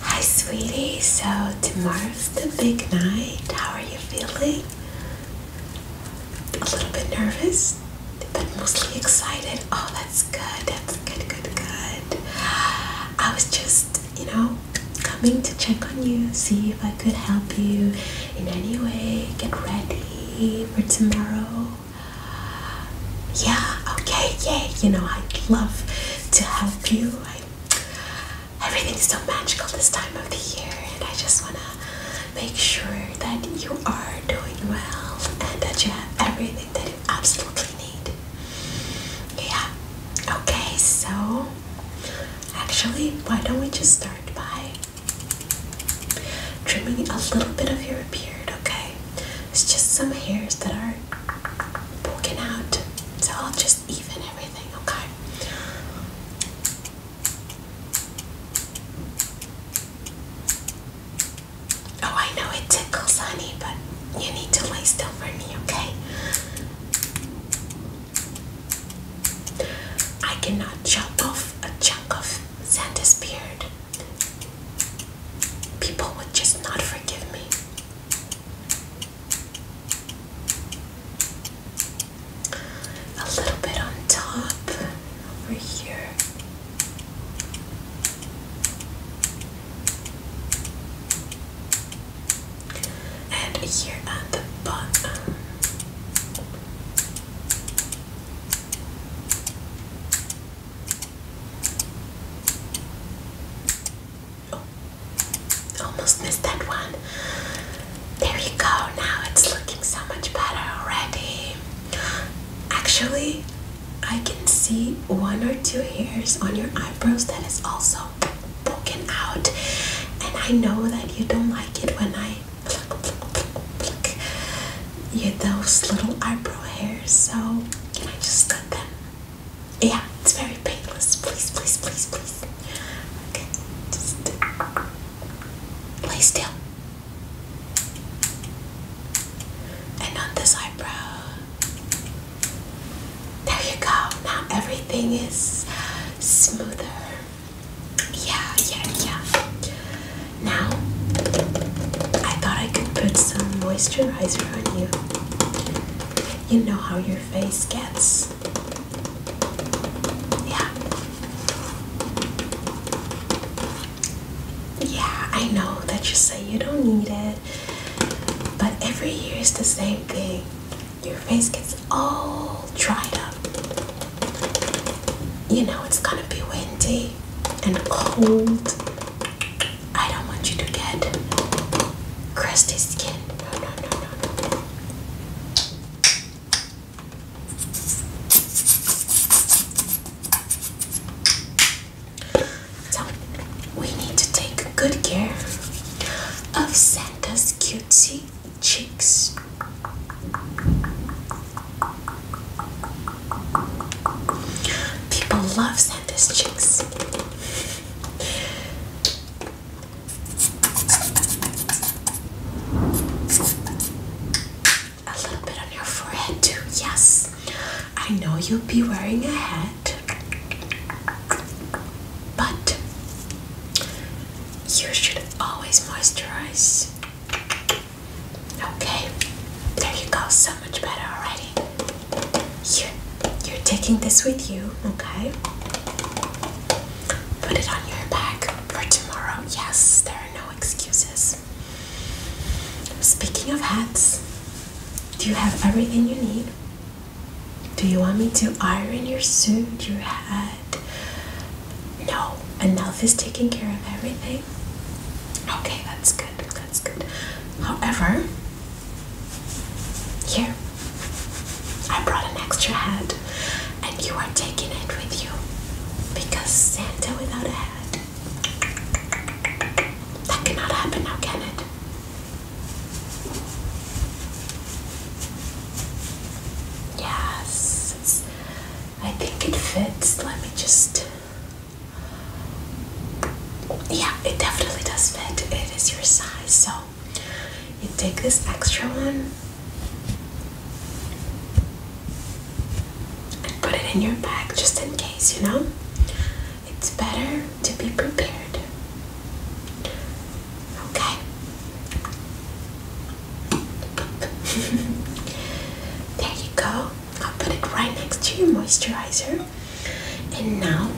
Hi, sweetie. So, tomorrow's the big night. How are you feeling? A little bit nervous, but mostly excited. Oh, that's good. That's good, good, good. I was just, you know, coming to check on you, see if I could help you in any way. Get ready for tomorrow. Yeah, okay, yeah. You know, I love to help you. everything's so magical this time of the year, and I just want to make sure that you are doing well and that you have everything that you absolutely need. Yeah, okay, so actually, why don't we just start by trimming a little bit of your beard, okay? It's just some hairs that are poking out. So I'll just even everything, okay? Oh, I know it tickles, honey, but you need to lay still for me, okay? I cannot chop off a chunk of Santa's beard. People would just not forgive me a little bit on top over here. And here at the bottom, Oh, almost missed that one. There you go. Now it's looking so much better already. Actually, I can see one or two hairs on your eyebrows that is also poking out, and I know that you don't like it when I pluck, pluck, pluck, pluck you those little eyebrow hairs. So can I just cut them? Yeah, it's very painless. Please, please, please, please. Okay, just lay still. And on this eyebrow. There you go. Now everything is smoother. Yeah, yeah, yeah. Now, I thought I could put some moisturizer on you. You know how your face gets. Yeah. Yeah, I know that you say you don't need it, but every year is the same thing. Your face gets all dried up. You know it's gonna be windy and cold I don't want you to get crusty skin. So, we need to take good care of Santa's cutesy cheeks. People love Santa send his cheeks. A little bit on your forehead too, yes. I know you'll be wearing a hat, but you should always moisturize. Okay, there you go, so much better, alright? You're, you're taking this with you, okay? Put it on your back for tomorrow. Yes, there are no excuses. Speaking of hats, do you have everything you need? Do you want me to iron your suit, your hat? No, enough is taking care of everything. Okay, that's good that's good. However, here, I brought an extra hat, and you are taking it with you because Santa without a hat that cannot happen now, can it? Yes, I think it fits. Let me just yeah, it definitely does fit. It is your size, so you take this extra one and put it in your bag just in case, you know? It's better to be prepared. Okay. there you go. I'll put it right next to your moisturizer. And now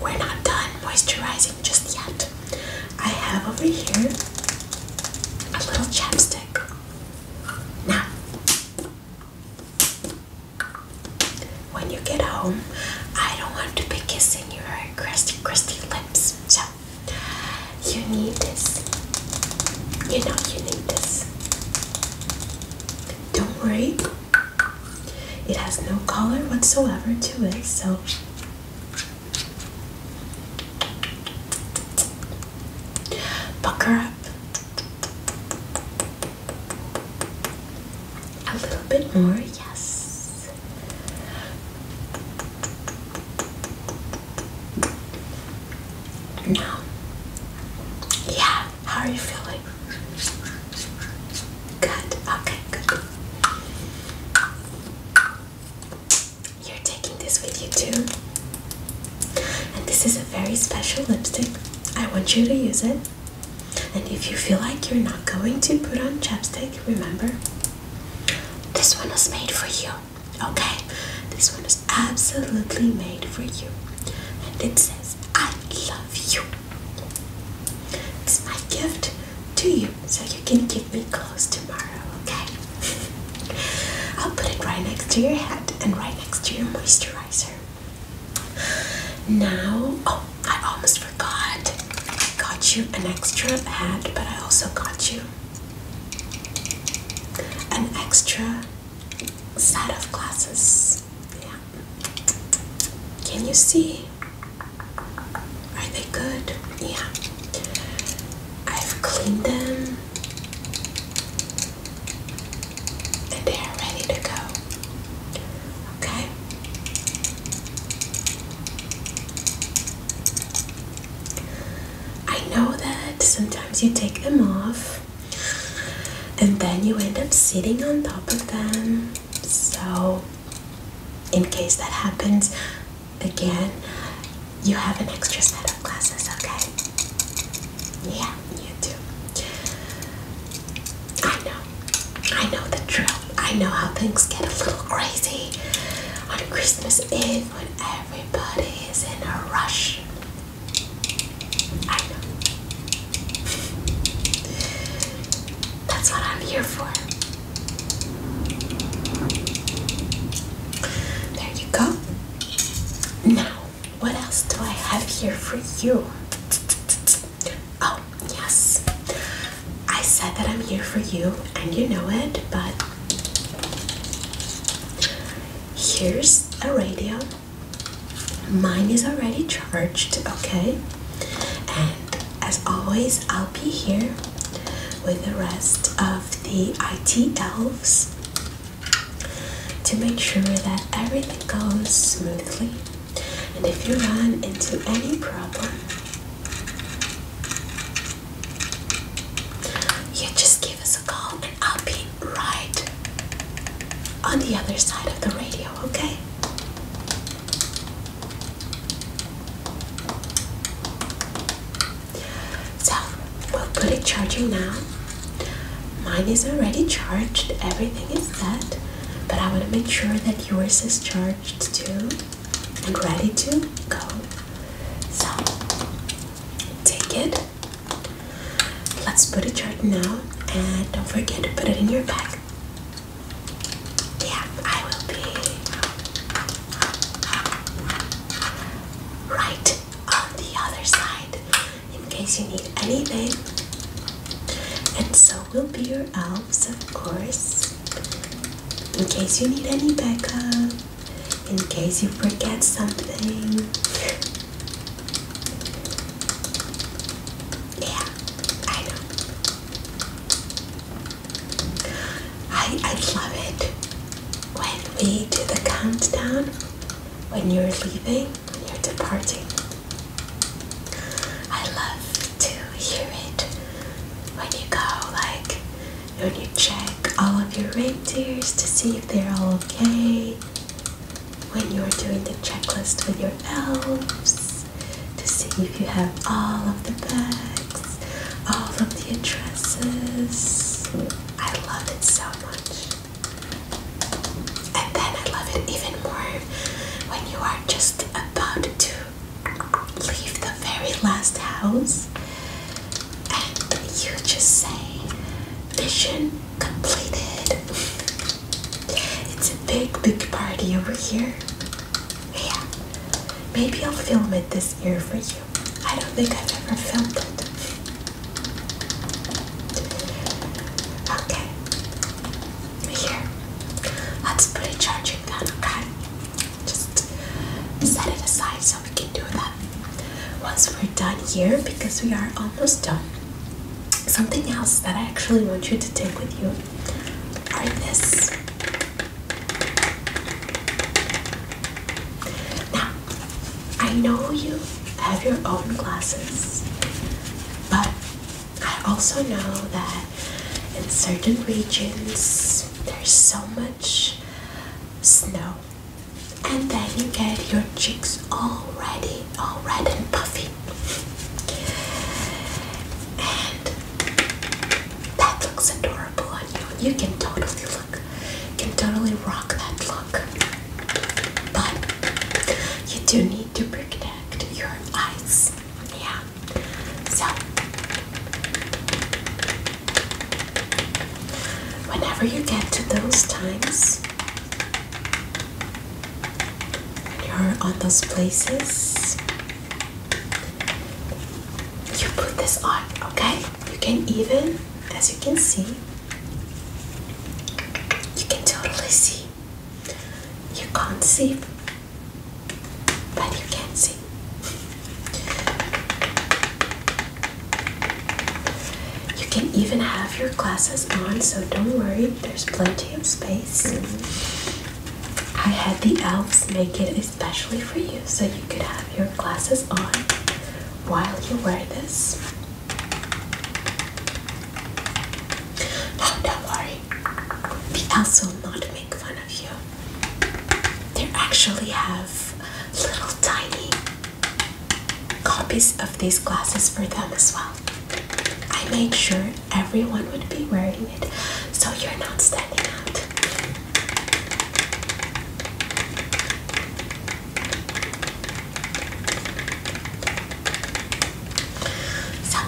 we're not done moisturizing just yet. I have over here a little chapstick. Now, when you get home, I don't want to be kissing your crusty, crusty lips. So, you need this. You know, you need this. Don't worry, it has no color whatsoever to it, so pucker up a little bit more, yes. No. Yeah. How are you feeling? Good. Okay, good. You're taking this with you too. And this is a very special lipstick. I want you to use it. And if you feel like you're not going to put on chapstick, remember, this one was made for you. Okay? This one is absolutely made for you. And it says I love you. It's my gift to you so you can keep me close tomorrow, okay? I'll put it right next to your head and right next to your moisturizer. Now, oh, I almost forgot. I got you an extra hat, but I also got you an extra set of glasses. Yeah. Can you see? Are they good? Yeah. I've cleaned them and they are ready to go. Okay? I know that sometimes you take them off and then you end up sitting on top of them so in case that happens again you have an extra set of glasses okay yeah you do i know i know the drill i know how things get a little crazy on christmas eve when everybody is in a rush I know. That's what I'm here for. There you go. Now, what else do I have here for you? Oh, yes. I said that I'm here for you, and you know it, but here's a radio Mine is already charged, okay? And as always, I'll be here with the rest of the IT elves to make sure that everything goes smoothly. And if you run into any problem, you just give us a call I'll be right on the other side of the radio, okay? So we'll put it charging now. Mine is already charged, everything is set, but I want to make sure that yours is charged too and ready to go. So take it Let's put it right now and don't forget to put it in your bag. Yeah, I will be right on the other side in case you need anything. And so we will be your elves, of course, in case you need any backup, in case you forget something. Yeah, I know. I I love it when we do the countdown when you're leaving, when you're departing. I love to hear it when you go, like when you check all of your reindeers to see if they're all okay when you're doing the checklist with your elves to see if you have all of the bags, all of the addresses. I love it so much. And then I love it even more when you are just about to leave the very last house and you just say, Mission completed. It's a big, big party over here. Yeah, maybe I'll film it this year for you. I don't think I've ever filmed it. Okay, here. Let's put a charging down, okay? Just set it aside so we can do that. Once we done here because we are almost done. Something else that I actually want you to take with you are this. Now, I know you have your own glasses, but I also know that in certain regions there's so much snow and then you get your cheeks all ready, all red and puffy. And that looks adorable on you. You can totally look, can totally rock that look. But you do need to protect your eyes. Yeah. So whenever you get to those times, you're on those places. You put this on, okay? You can even, as you can see, you can totally see. You can't see, but you can see. You can even have your glasses on, so don't worry, there's plenty of space. I had the elves make it especially for you, so you could have your glasses on while you wear this. No, oh, don't worry, the elves will not make fun of you. They actually have little tiny copies of these glasses for them as well. I made sure everyone would be wearing it so you're not standing out. So,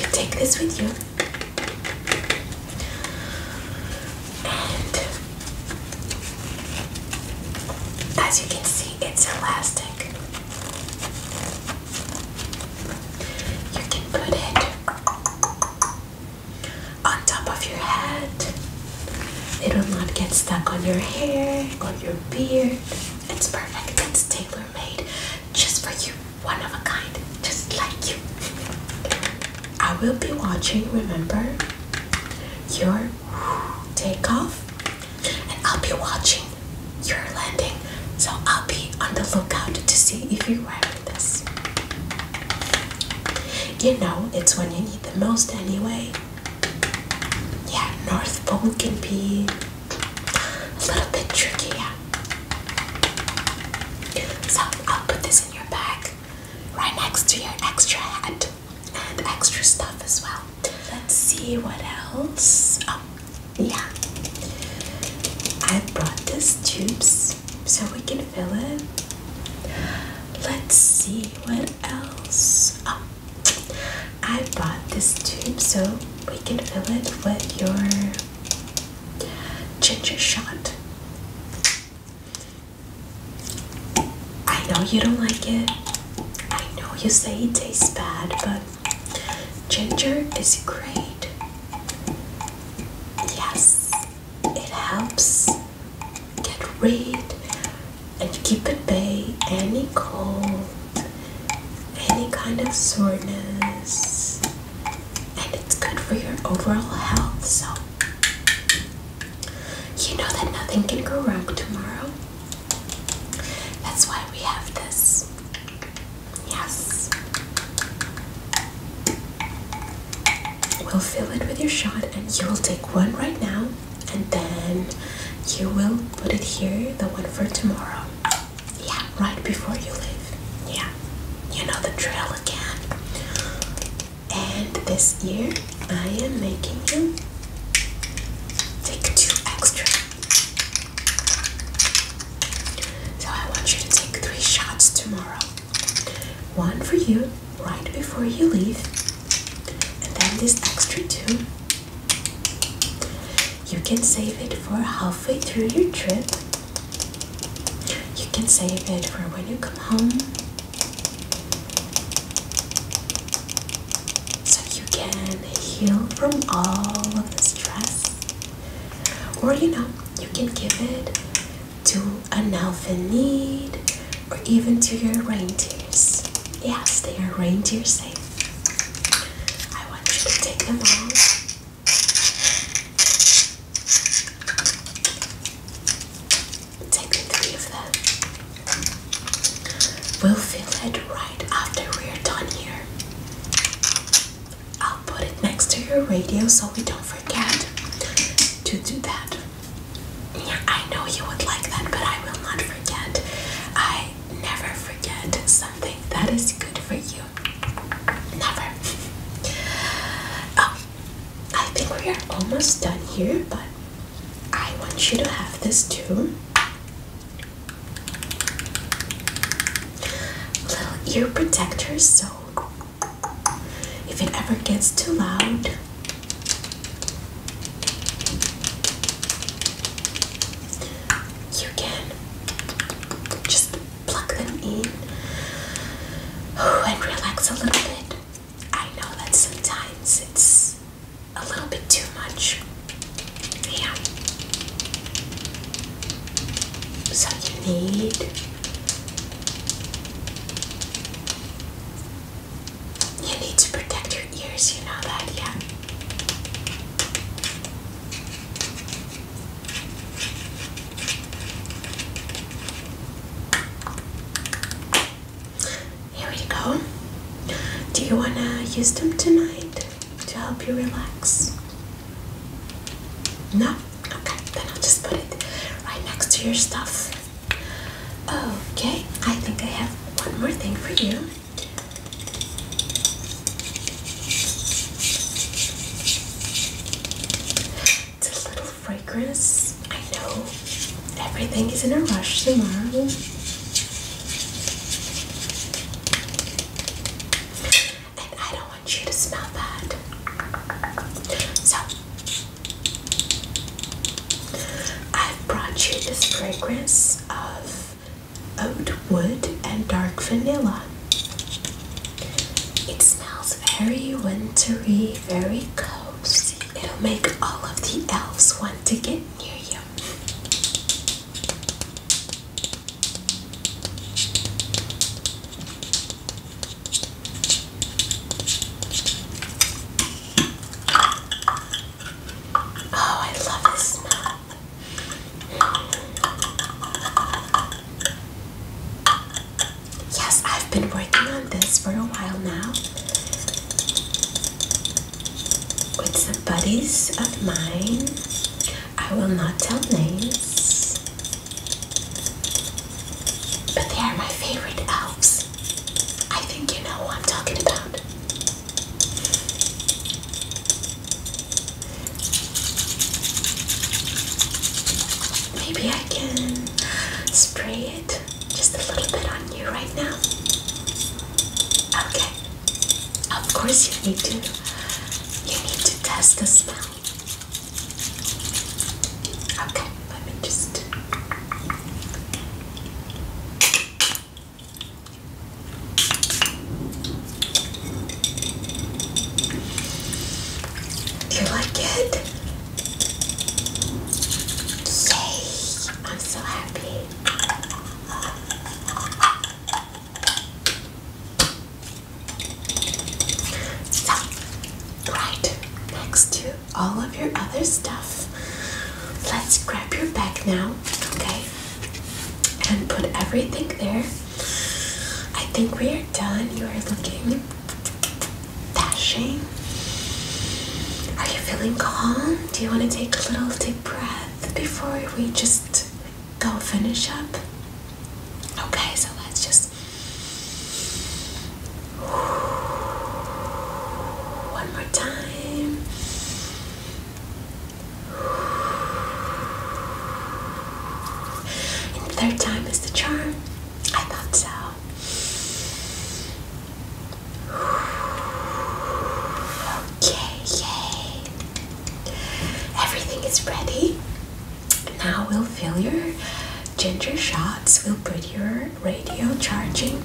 you take this with you. And as you can see, it's elastic. You can put it on top of your head. It will not get stuck on your hair, or your beard. It's perfect. It's tailor made just for you. One of a kind, just like you. I will be watching, remember? your takeoff, and I'll be watching your landing. So I'll be on the lookout to see if you're wearing this. You know, it's when you need the most anyway. Yeah, North Pole can be a little bit tricky, yeah. So I'll put this in your bag right next to your extra hat and extra stuff as well. Let's see what else. Oh, yeah. I brought this tubes so we can fill it. Let's see what else. Oh, I bought this tube so we can fill it with your ginger shot. I know you don't like it. I know you say it tastes bad, but ginger is great. Yes, it helps get rid and keep at bay any cold, any kind of soreness, and it's good for your overall health. So, you know that nothing can go wrong tomorrow. That's why we have this. Yes. We'll fill it with your shot, and you will take one right now, and then you will put it here, the one for tomorrow. Yeah, right before you leave. Yeah, you know the drill again and this year I am making him take two extra. So I want you to take three shots tomorrow. One for you right before you leave, and then this extra two. You can save it for halfway through your trip. You can save it for when you come home. So you can heal from all of the stress. Or you know, you can give it to an elf in need or even to your reindeers. Yes, they are reindeer safe. I want you to take them all. Take three of them. We'll fill it right after we're done here. I'll put it next to your radio so we don't forget to do that. Yeah, I know you would like that, but I will not forget. I never forget something that is good for you. Never. oh, I think we are almost done here, but I want you to have this too. Little ear protectors, so if it ever gets too loud, you can just plug them in and relax a little bit. I know that sometimes it's a little bit too much. Yeah. So you need you need to protect your ears, you know that, yeah. Here we go. Do you want to use them tonight to help you relax? No? Okay, then I'll just put it right next to your stuff. Okay, I think I have one more thing for you. It's a little fragrance. I know everything is in a rush tomorrow. And I don't want you to smell that. So, I've brought you this fragrance of oat wood and dark vanilla. It smells very wintry, very cozy. It'll make all of the elves want to get near you. Oh, I love his Yes, I've been working on this for a while now with some buddies of mine. I will not tell names, but they are my favorite elves. I think you know what I'm talking about. Maybe I can spray it just a little bit on you right now? Okay. Of course you need to. You need to test the smell. Okay, let me just do you like it? Yay! I'm so happy. So, right next to all of your other stuff, let's grab your bag now, okay? And put everything there. I think we are done. You are looking dashing. Are you feeling calm? Do you want to take a little deep breath before we just go finish up? Okay, so let's just. One more time. And third time is the charm. I thought so. Okay, yay! Everything is ready. Now we'll fill your ginger shots. We'll put your radio charging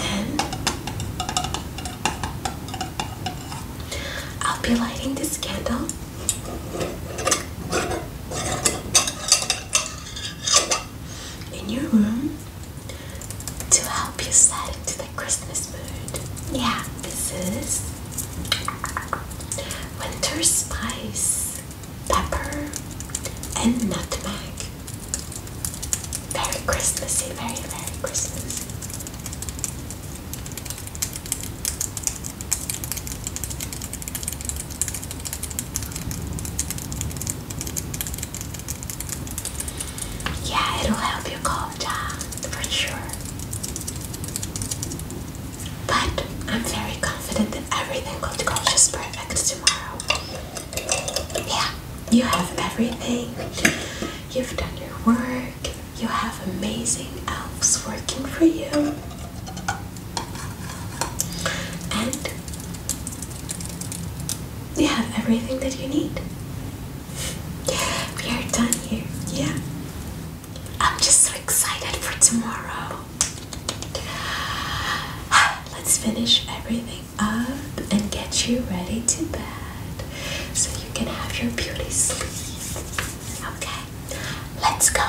and I'll be lighting this candle in your room to help you set into the Christmas mood. Yeah, this is winter spice, pepper, and nutmeg. Merry Christmassy, Merry merry Christmas! Yeah, it'll help you calm down for sure. But I'm very confident that everything will go just perfect tomorrow. Yeah, you have everything. You've done your work. You have amazing elves working for you. And you have everything that you need. We are done here, yeah. I'm just so excited for tomorrow. Let's finish everything up and get you ready to bed so you can have your beauty sleep. Okay, let's go.